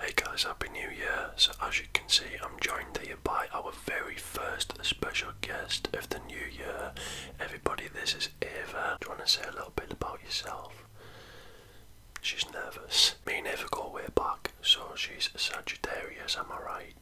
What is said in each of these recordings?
Hey guys, happy new year. So as you can see, I'm joined here by our very first special guest of the new year. Everybody, this is Ava. Do you want to say a little bit about yourself? She's nervous. Me never Ava go way back, so she's Sagittarius, am I right?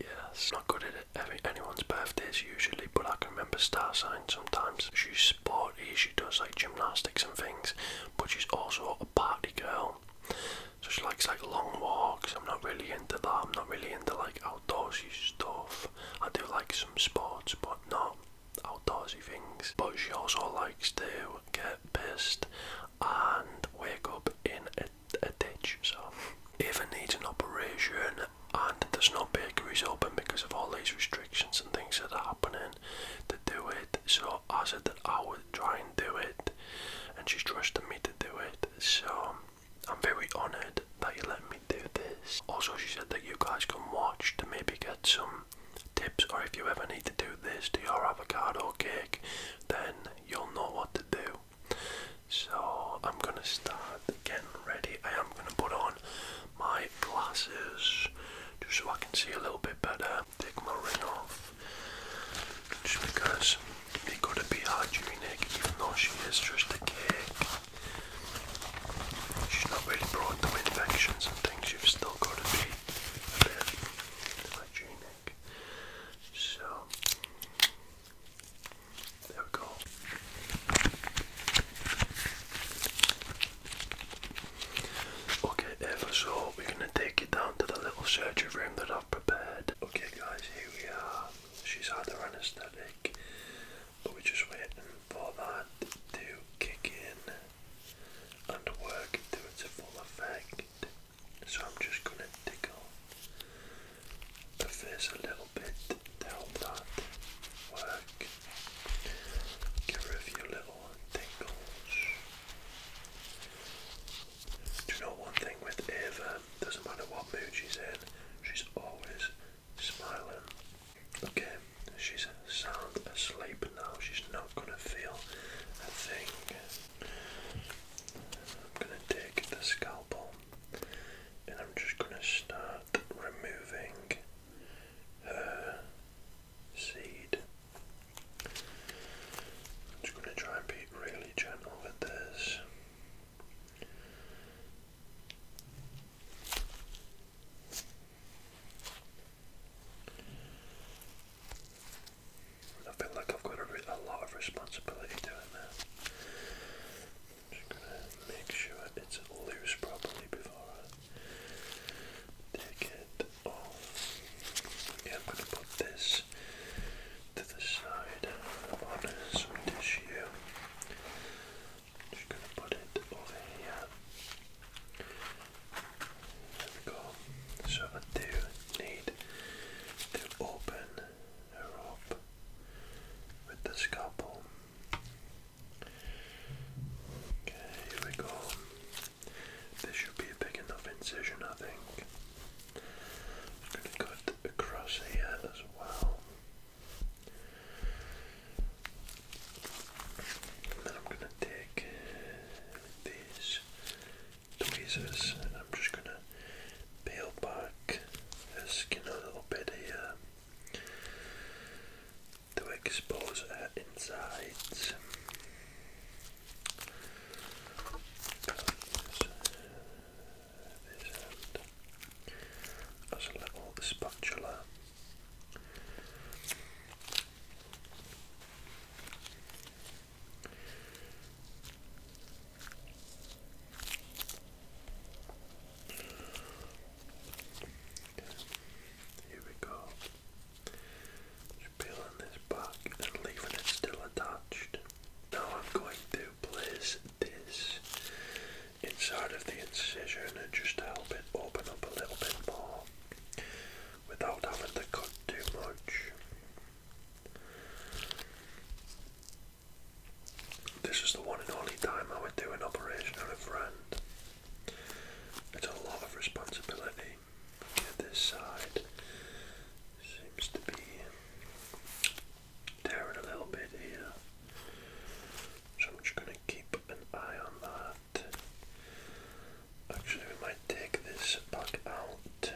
Yes. Not good at it. anyone's birthdays usually, but I can remember star signs sometimes. She's sport she does like gymnastics and things, but she's also a party girl. So she likes like long walks. I'm not really into that. I'm not really into like outdoorsy stuff. I do like some sports, but not outdoorsy things. But she also likes to get pissed and wake up in a, a ditch. So if needs an operation and there's no bakeries open because of all these restrictions and things that are happening to do it, so I said that I would try and do it, and she's trusted me to do it. So I'm very honoured that you let me do this. Also, she said that you guys can watch to maybe get some tips, or if you ever need to do this to your avocado cake, then you'll know what to do. So I'm gonna start getting ready. I am gonna put on my glasses just so I can see a little bit better take my ring off just because they gotta be hard even though she is just a kid. She's not really prone to infections and things, you've still gotta be a hygienic. So there we go. Okay, ever so we're gonna take you down to the little surgery room that I've prepared. Okay guys, here we are. She's had her anaesthetic, but we're just waiting for that to kick in and work to its full effect. So I'm just gonna tickle the face a little bit to help that work. Give her a few little tingles. Do you know one thing with Ava? Doesn't matter what mood she's in, she's always smiling. Okay, she's sound asleep now. She's not gonna feel a thing. I'm gonna take the scalpel and I'm just gonna start removing her seed. I'm just going to try and be really gentle with this. I feel like I've got a, lot of responsibility doing that. I'm going to make sure it's loose properly before Take it off. Okay, I'm going to put this to the side on some tissue. just going to put it over here. There we go. So I do need to open her up with the scalpel. Okay, here we go. This should be a big enough incision, I think. I'm going to cut across here as well. And then I'm going to take these tweezers and I'm just going to peel back the skin a little bit here to expose her insides. This end as a little spatula. Here we go peeling this back and leaving it still attached. Now I'm going to place this inside of the incision just help it open up a little bit more without having to cut too much. This is the one and only time I would do an operation on a friend. It's a lot of responsibility this side. Seems to be tearing a little bit here. So I'm just going to keep an eye on that. Actually, we might take this back out.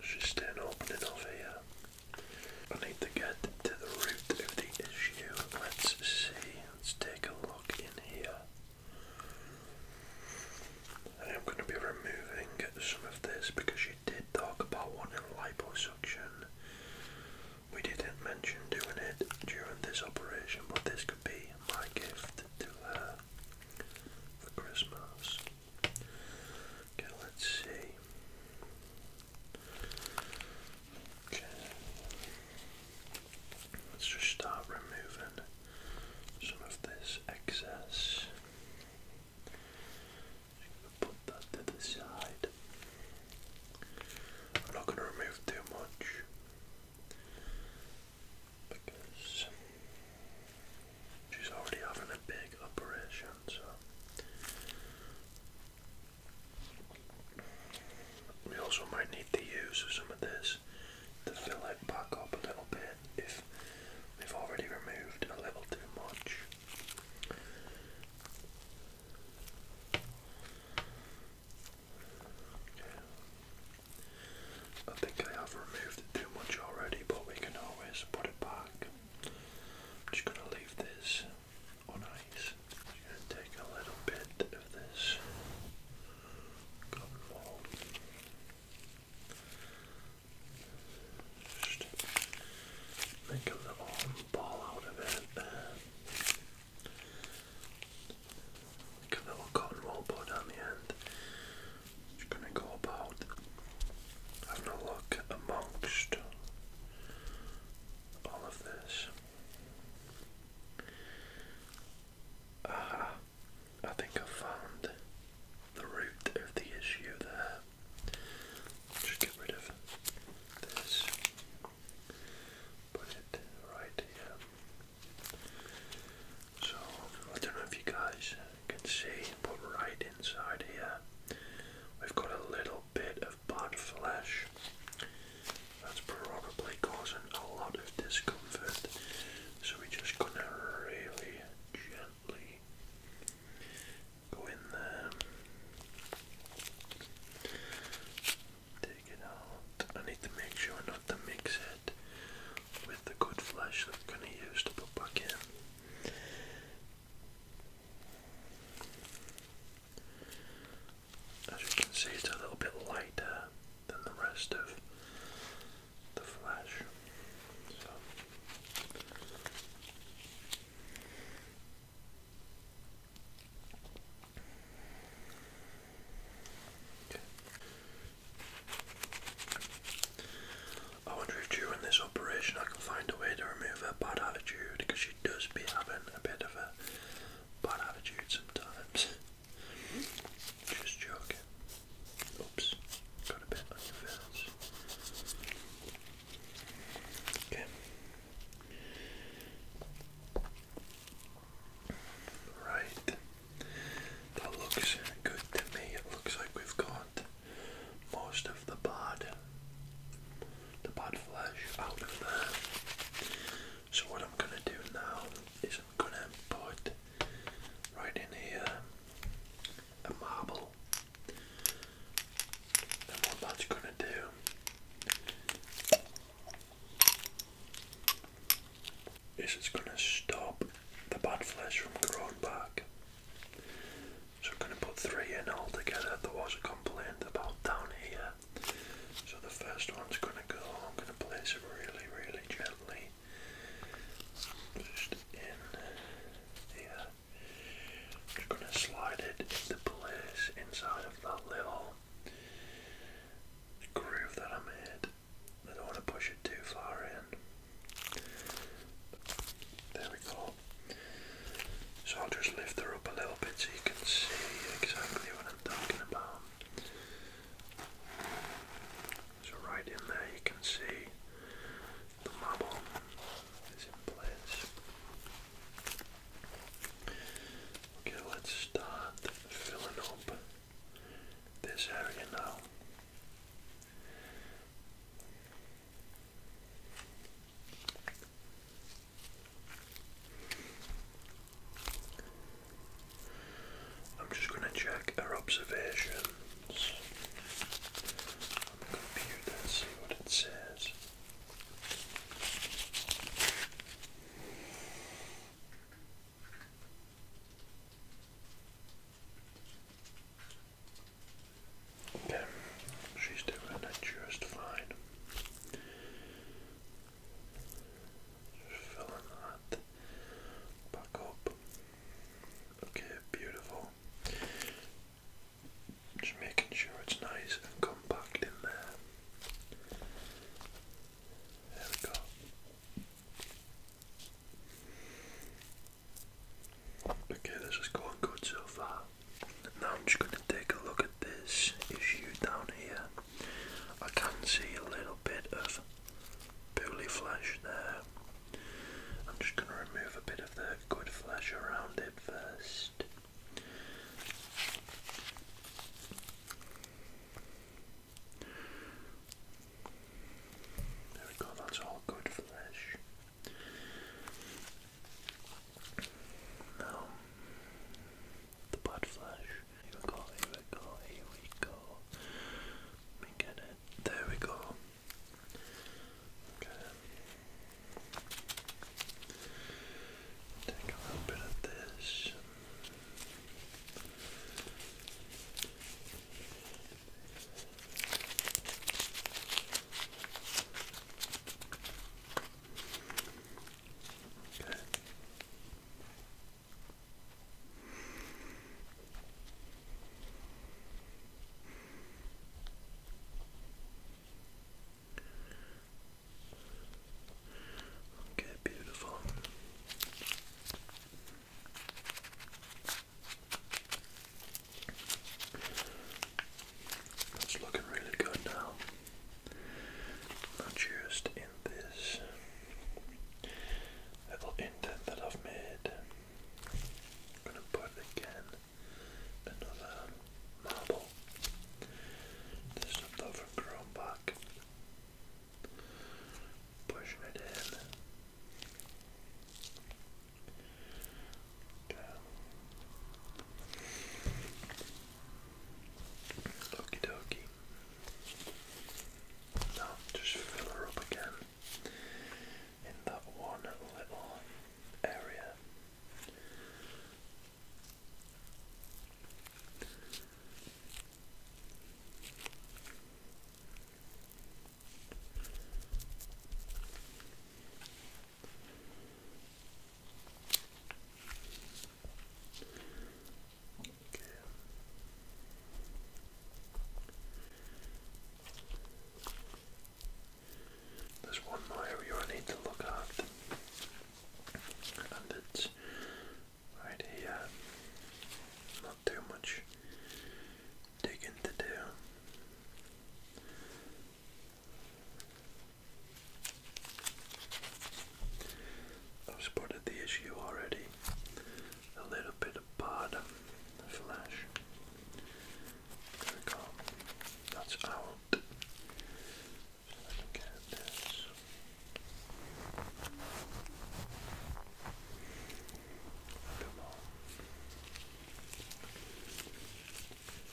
She's staying open enough here. I need to get to the root of the issue. Let's see Let's take a look in here. I am going to be removing some of this because you did talk about wanting liposuction. We didn't mention doing it during this operation, but this could be my gift to her for Christmas. Okay, let's see. Okay. Let's just start removing some of this excess. put that to the side. I'm not going to remove too much because she's already having a big operation, so we also might need to use some of this to fill it back up a little bit if we've already removed a little too much. I think I have removed too much already, but we can always put it back. just going to leave this on ice. take a little bit of this cotton ball. make a little ball out of it. Make a little cotton wool ball down the end. Just gonna go about having a look amongst all of this. Aha, uh, I think I found the root of the issue there. Just get rid of this. Put it right here. So, I don't know if you guys can see, but right inside here, we've got a little bit of of bad flesh. That's probably causing a lot of discomfort. So we're just gonna really gently go in there. Take it out. I need to make sure not to mix it with the good flesh that we're gonna use to put back in. As you can see, it's a little bit lighter than the rest of the flash. I wonder if you, in this operation I can find a way to remove her bad attitude because she does be having a bit of a bad attitude sometimes. Just joking. Oops, got a bit on your face. Okay. Right. That looks good to me. It looks like we've got most of the bad the bad flesh out of there. So what I'm gonna do now is I'm gonna put right in here a marble. And what that's gonna do is it's gonna stop the bad flesh from growing back. So I'm gonna put three in altogether. There was a complaint about down here so the first one's going to go, I'm going to place it really, really gently just in here. I'm going to slide it into place inside of that little groove that I made. I don't want to push it too far in. There we go. So I'll just lift her up a little bit so you can see exactly what I'm talking about. So right in there you can see the marble is in place. Okay, let's start filling up this area now. I'm just going to check our observations on the computer see what it says. Okay, she's doing it just fine filling that back up. Okay, beautiful. Just making sure it's nice and compact in there. There we go. Okay, this is going good so far. Now I'm just going to take a look at this issue down here. I can see a little bit of poorly flesh there. I'm just going to remove a bit of the good flesh around it first. There we go, that's all good flesh. Um, the butt flash. Here we go, here we go, here we go. Let me get it. There we go. Okay. Take a little bit of this. Good. Okay, beautiful. That's looking really good now not used in this little indent that I've made. I'm gonna put again another marble. This is not from back. Pushing it in down. Okie Now just fill her up again in that one little area. There's one more area I need to look at, and it's right here. Not too much digging to do. I've spotted the issue already. A little bit of bad flash. There we go. That's out. Let me this. Come on. It's all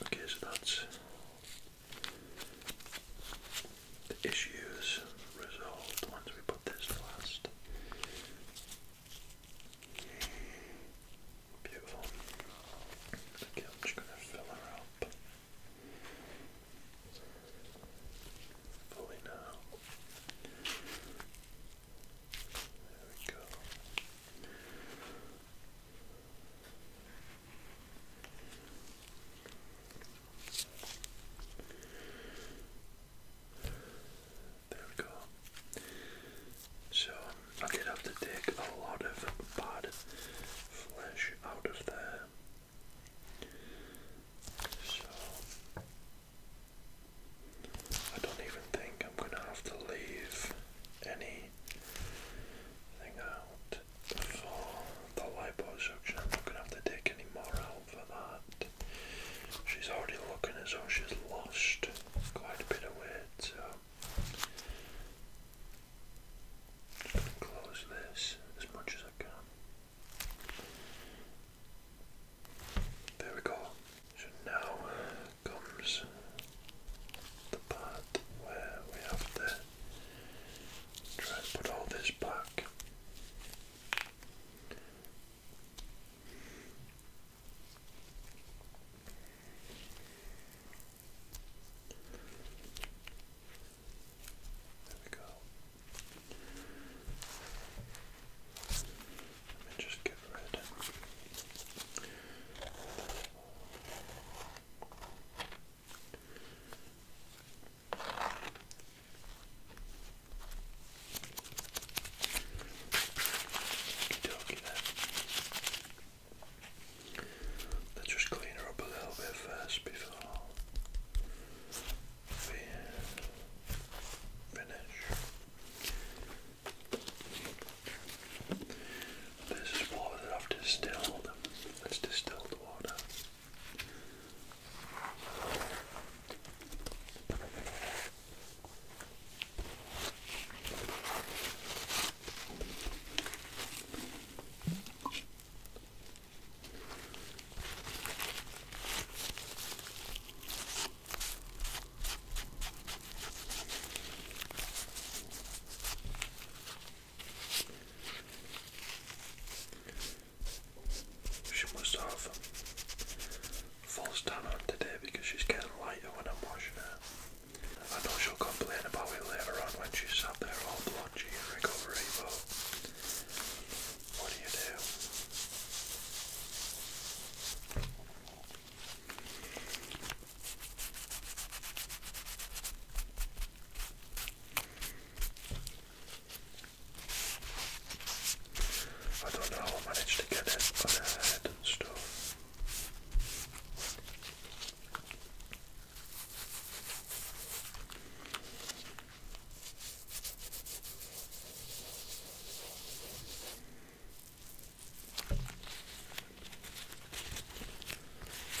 Okay, so that's the issues resolved once we put this last. Beautiful. Okay, I'm just going to fill her up fully now. There we go. There we go. So I did have to take a lot of bad flesh out of there. So I don't even think I'm gonna have to leave anything out for the liposuction. I'm not going to have to take any more out for that. She's already looking as though she's lost quite a bit of weight, so i going to close this as much as I can. There we go. now comes the part where we have to Try and put all this back. There we go. Let me just get rid. Let's just clean her up a little bit first before finish. This is water that I've distilled. It's distilled water. She must have full down on today because she's getting lighter when I'm washing her. I know she'll complain about me later on when she's sat there all blotchy and recovery, what do you do? I don't know how I managed to get it on her head and stuff.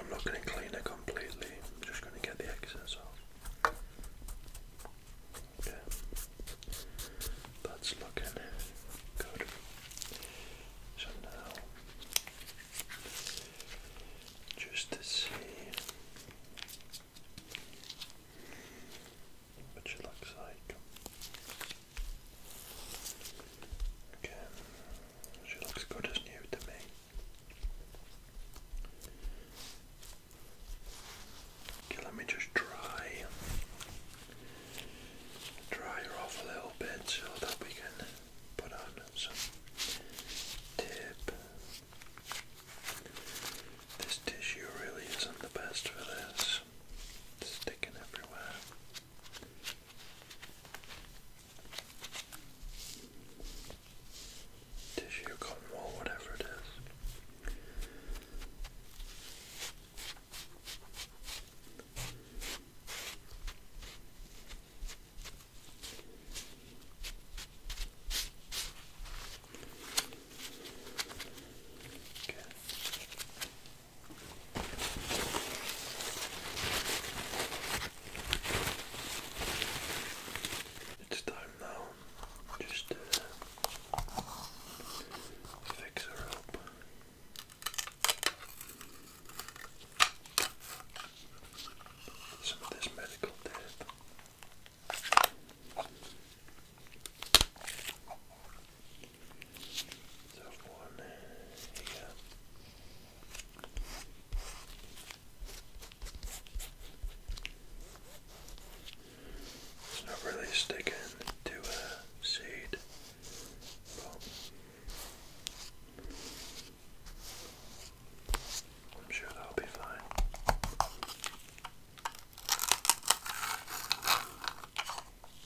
I'm not going to clean it completely, I'm just going to get the excess off. Okay, that's looking good. So now, just to see which it looks like. Okay, she looks good as new to me. Okay, let me just dry, dry her off a little bit so that we can put on some tape. This tissue really isn't the best for this. It's sticking everywhere. Tissue, cotton wool, whatever it is. Okay. It's time now just to fix her up. Some of this medical tape. So one It's not really sticking to a seed. I'm sure that'll be fine.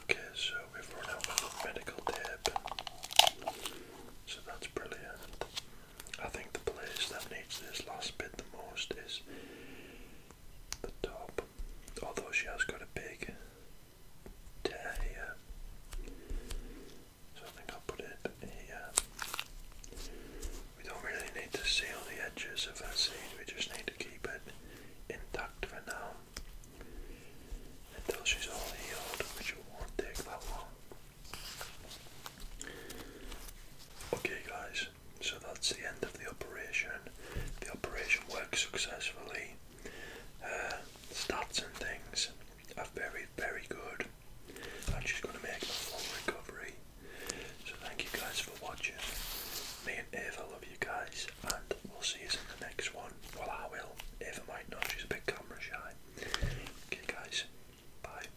Okay, so we've run out of medical tape, so that's brilliant. I think the place that needs this last bit the most is the top. Although she has got a big tear So I think I'll put it here. We don't really need to seal the edges of that seed, we just need to keep it intact for now. Until she's all healed, which won't take that long. Okay, guys, so that's the end of the operation. The operation works successfully. Uh, stats and things are very, very good. And she's going to make a full recovery. So, thank you guys for watching. Me and Ava love you guys, and we'll see you in the next one. Well, I will. Ava might not, she's a bit camera shy. Okay, guys, bye.